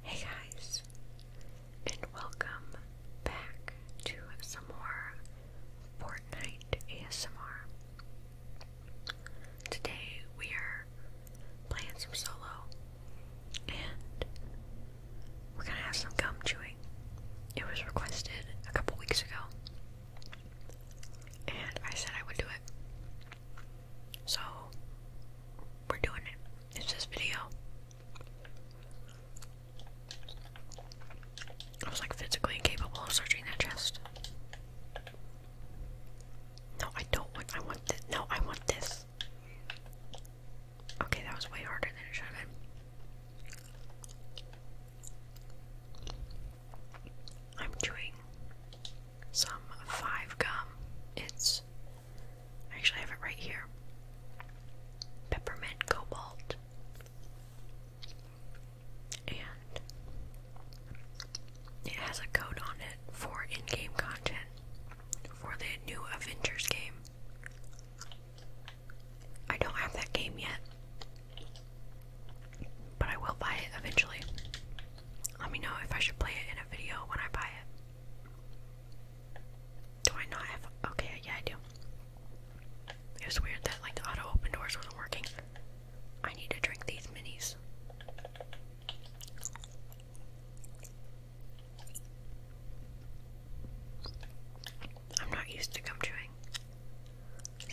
Hey guys, and welcome back to some more Fortnite ASMR. Today we are playing some solo, and we're gonna have some gum chewing. It was requested a couple weeks ago, and I said I would do it. So, we're doing it. It's this video. I was like physically incapable of searching that chest. No, I don't want. I want No, I want this. Okay, that was way harder than it should have been. I'm chewing some five gum. It's Actually, I have it right here. Peppermint Cobalt. And it has a code on it for in game content for the new Avengers game. I don't have that game yet, but I will buy it eventually. Let me know if I should play it in a video when I buy it. Do I not have okay, yeah I do. It was weird that like auto open doors wasn't working. I need to drink these minis. I'm not used to gum chewing.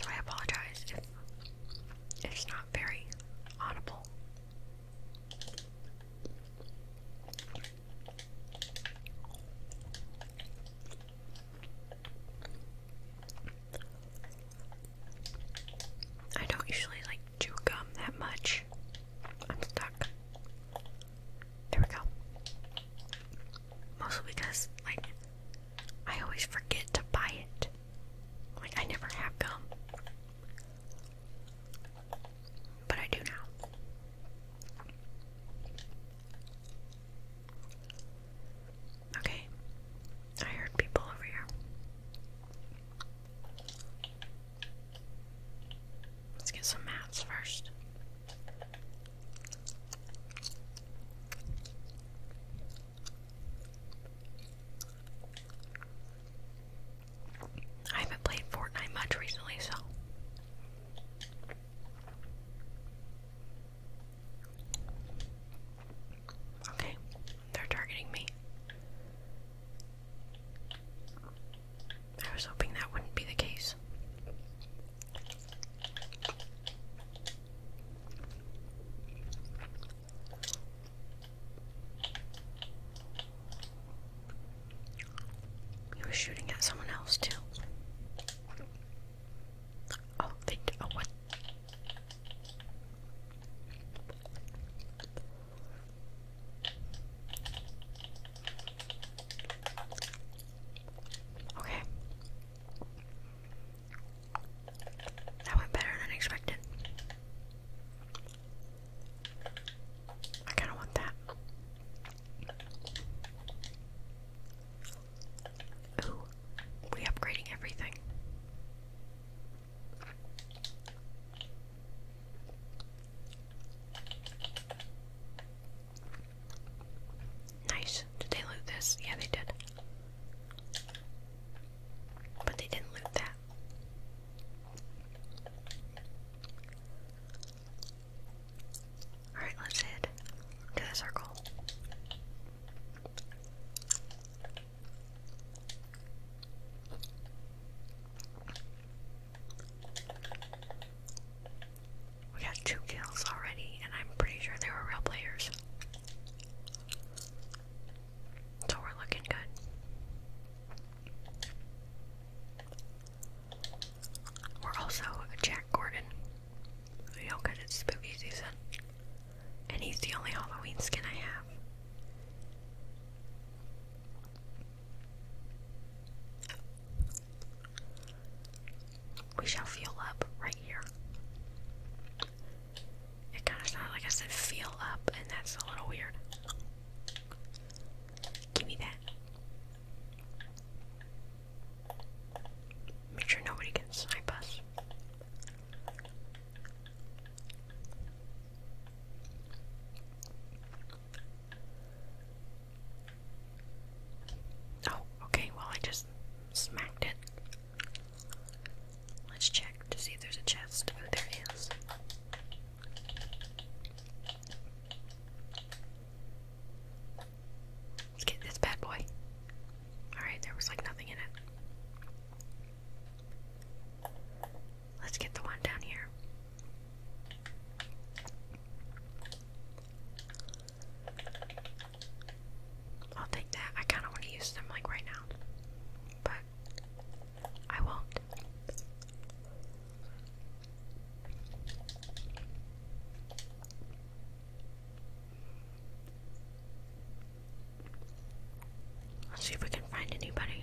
So I apologize if it's not very audible. I don't usually like chew gum that much. I'm stuck. There we go. Mostly because, like, I always forget to buy it. Like, I never have gum. But I do now. Okay. I heard people over here. Let's get some mats first. I haven't played Fortnite much recently, so. Okay, they're targeting me. I was hoping that wouldn't be the case. He was shooting at someone else too. Oh, oh what? Okay. That went better than expected. I kind of want that. Ooh, we upgrading everything. Nice. Did they loot this? Yeah, they did. But they didn't loot that. Alright, let's head to the circle. We got two kills already, and I'm pretty sure they were real players. So we're looking good. We're also Jack Gordon. You know, because it's spooky season. And he's the only Halloween skin I have. We shall fuel up right here. It kind of like I said feel up, and that's a little weird. Give me that. Make sure nobody can snipe us. Oh, okay, well, I just smacked it. Let's check to see if there's a chest. Oh, there is. Let's get this bad boy. Alright, there was like nothing in it. Let's get the one down here. I'll take that. I kind of want to use them like right now, but I won't. Let's see if we can find anybody.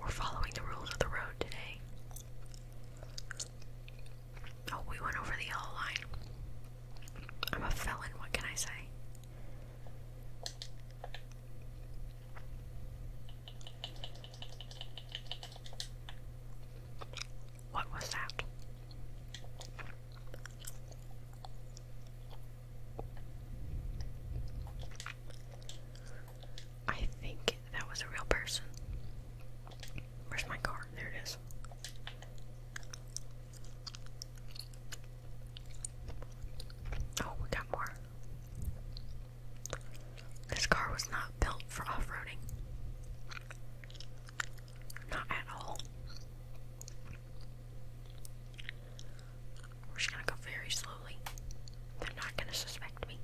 We're following the rules of the road today. Oh, we went over the yellow line. I'm a felon, what can I say? What was that? I think that was a real person. Where's my car? There it is. Oh, we got more. This car was not built for off roading. Not at all. We're just gonna go very slowly. They're not gonna suspect me.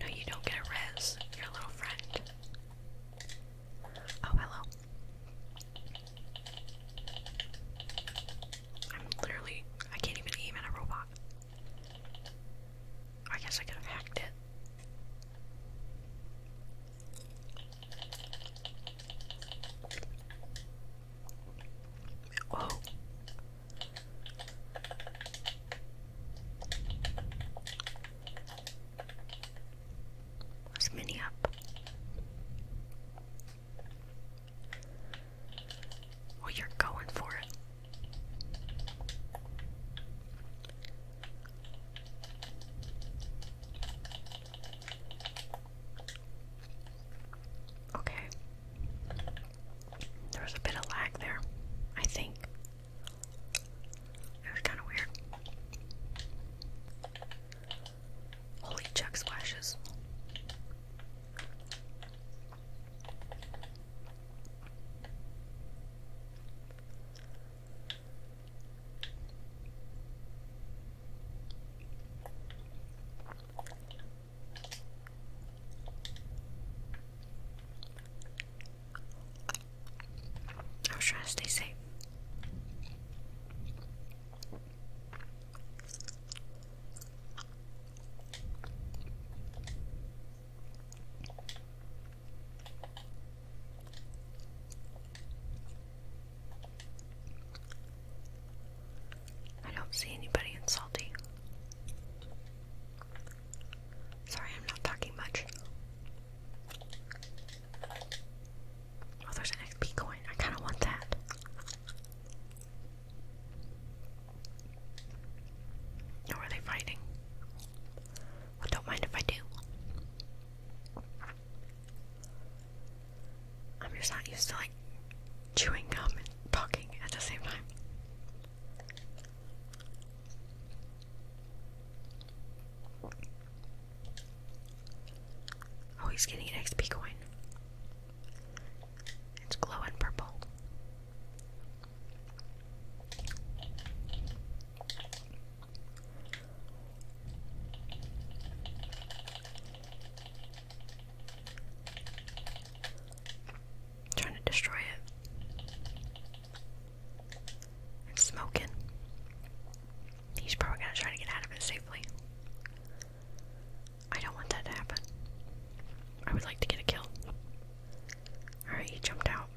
No, you don't get a res, your little friend. Oh, hello. I'm literally, I can't even aim at a robot. I guess I could have hacked it. Whoa. let mini up. Oh, you're going for it. Okay. There was a bit of lag there, I think. It was kind of weird. Holy chuck splashes. I was trying to stay safe. I don't see anybody in Salty. Sorry, I'm not talking much. Oh, there's an XP coin. I kind of want that. Or are they fighting? don't mind if I do. I'm just not used to like chewing gum and talking at the same time. Oh, he's getting an XP coin. It's glowing purple. trying to destroy it. It's smoking. He's probably gonna try to get out of it safely. I don't want that to happen. I would like to get a kill. Alright, he jumped out.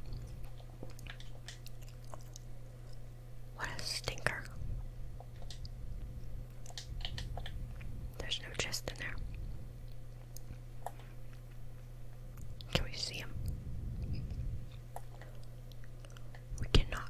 What a stinker. There's no chest in there. Can we see him? We cannot.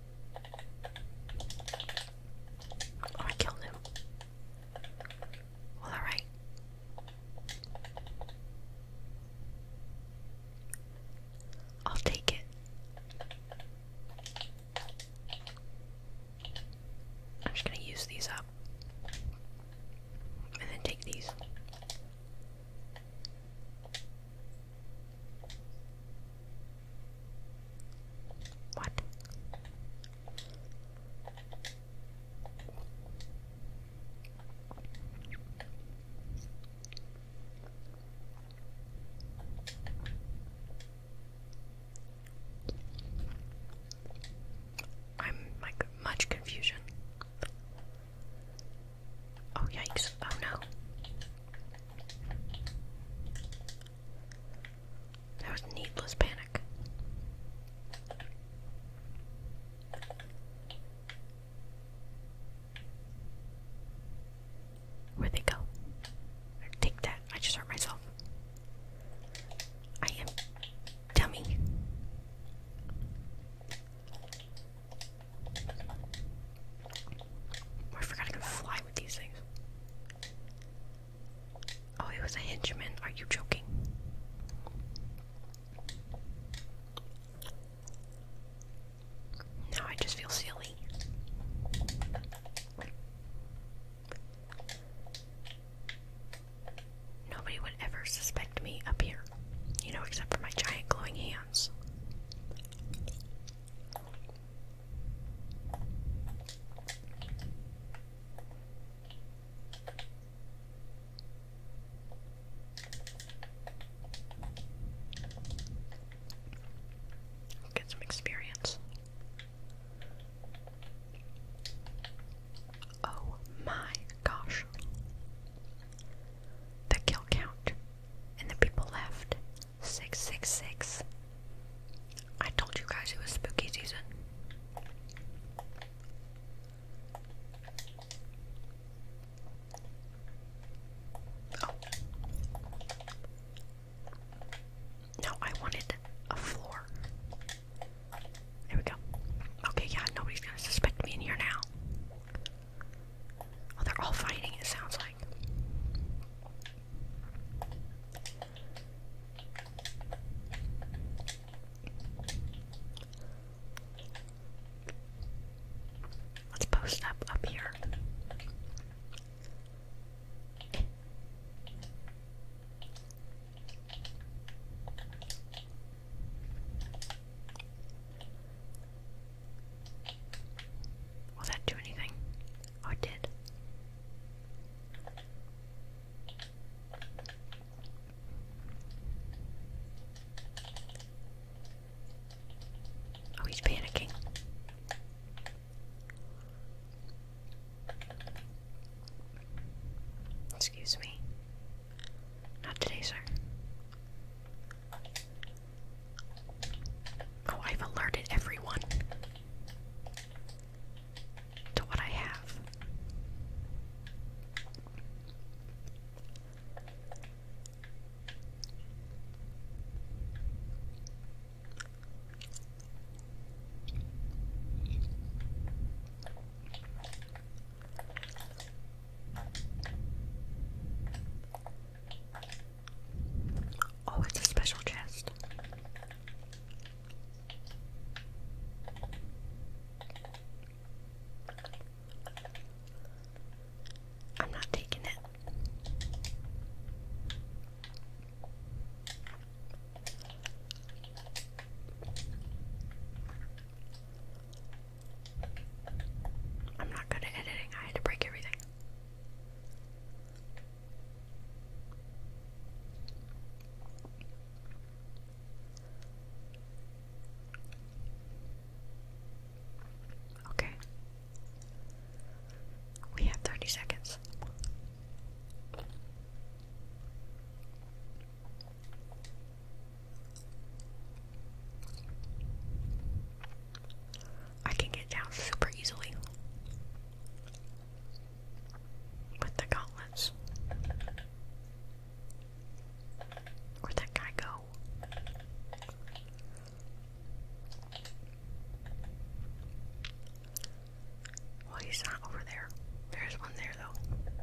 Oh, I killed him. alright. I'll take it. I'm just going to use these up. And then take these. What? I'm like much confusion. Oh yikes! Oh no! That was needless panic. Where'd they go? Take that. I just hurt myself. I am dummy. I forgot I can fly with these things. Oh, he was a henchman. Are you joking? Now I just feel silly. Nobody would ever suspect me up here, you know, except for my giant glowing hands get some experience. Oh my gosh. The kill count and the people left 666. I told you guys it was spooky season. Oh. No, I wanted a floor. There we go. Okay, yeah, nobody's gonna suspect me in here now. Oh, they're all fighting, it sounds like. Let's post up up here. Will that do anything? Oh, it did. Oh, he's panicking. Excuse me. Not today, sir. Oh, I've alerted everyone to what I have. Oh, it's a special chest. I'm not taking it. I'm not good at editing. I had to break everything. Okay. We have 30 seconds. I can get down super easily with the gauntlets. Where'd that guy go? Well, he's not over there. There's one there, though.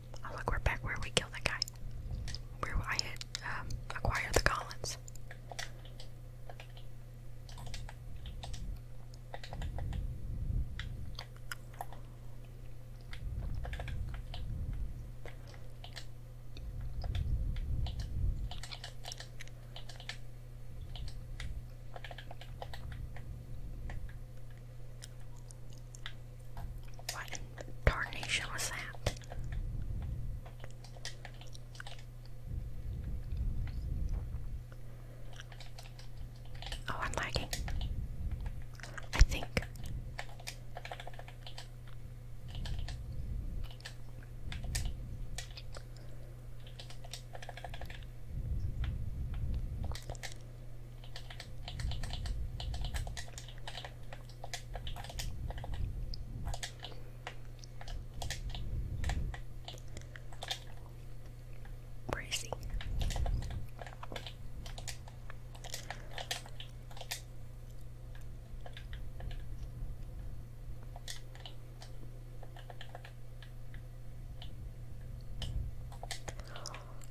Oh look, we're back where we killed that guy. Where I um, acquired the Collins. What in tarnation was that? Oh, I'm lagging. I think. Where is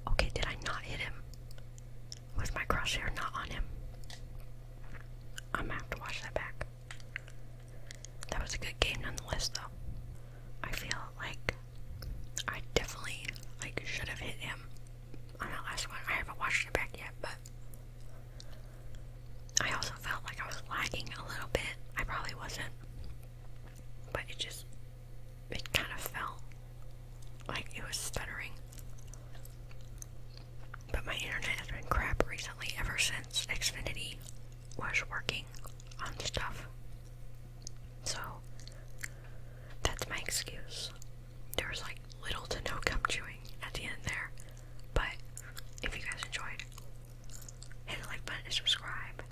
Okay, did I not hit him? Was my crosshair not on him? I'm gonna have to watch that back. That was a good game nonetheless, though. I feel like I definitely like should have hit him on that last one. I haven't watched it back yet, but I also felt like I was lagging a little bit. I probably wasn't, but it just it kind of fell. Like it was stuttering. But my internet has been crap recently ever since Xfinity was working on stuff. So that's my excuse. There was like little to no gum chewing at the end there. But if you guys enjoyed, hit the like button and subscribe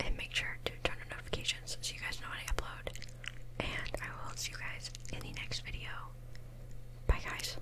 and make sure to turn on notifications so you guys know when I upload. And I will see you guys in the next video. Bye, guys.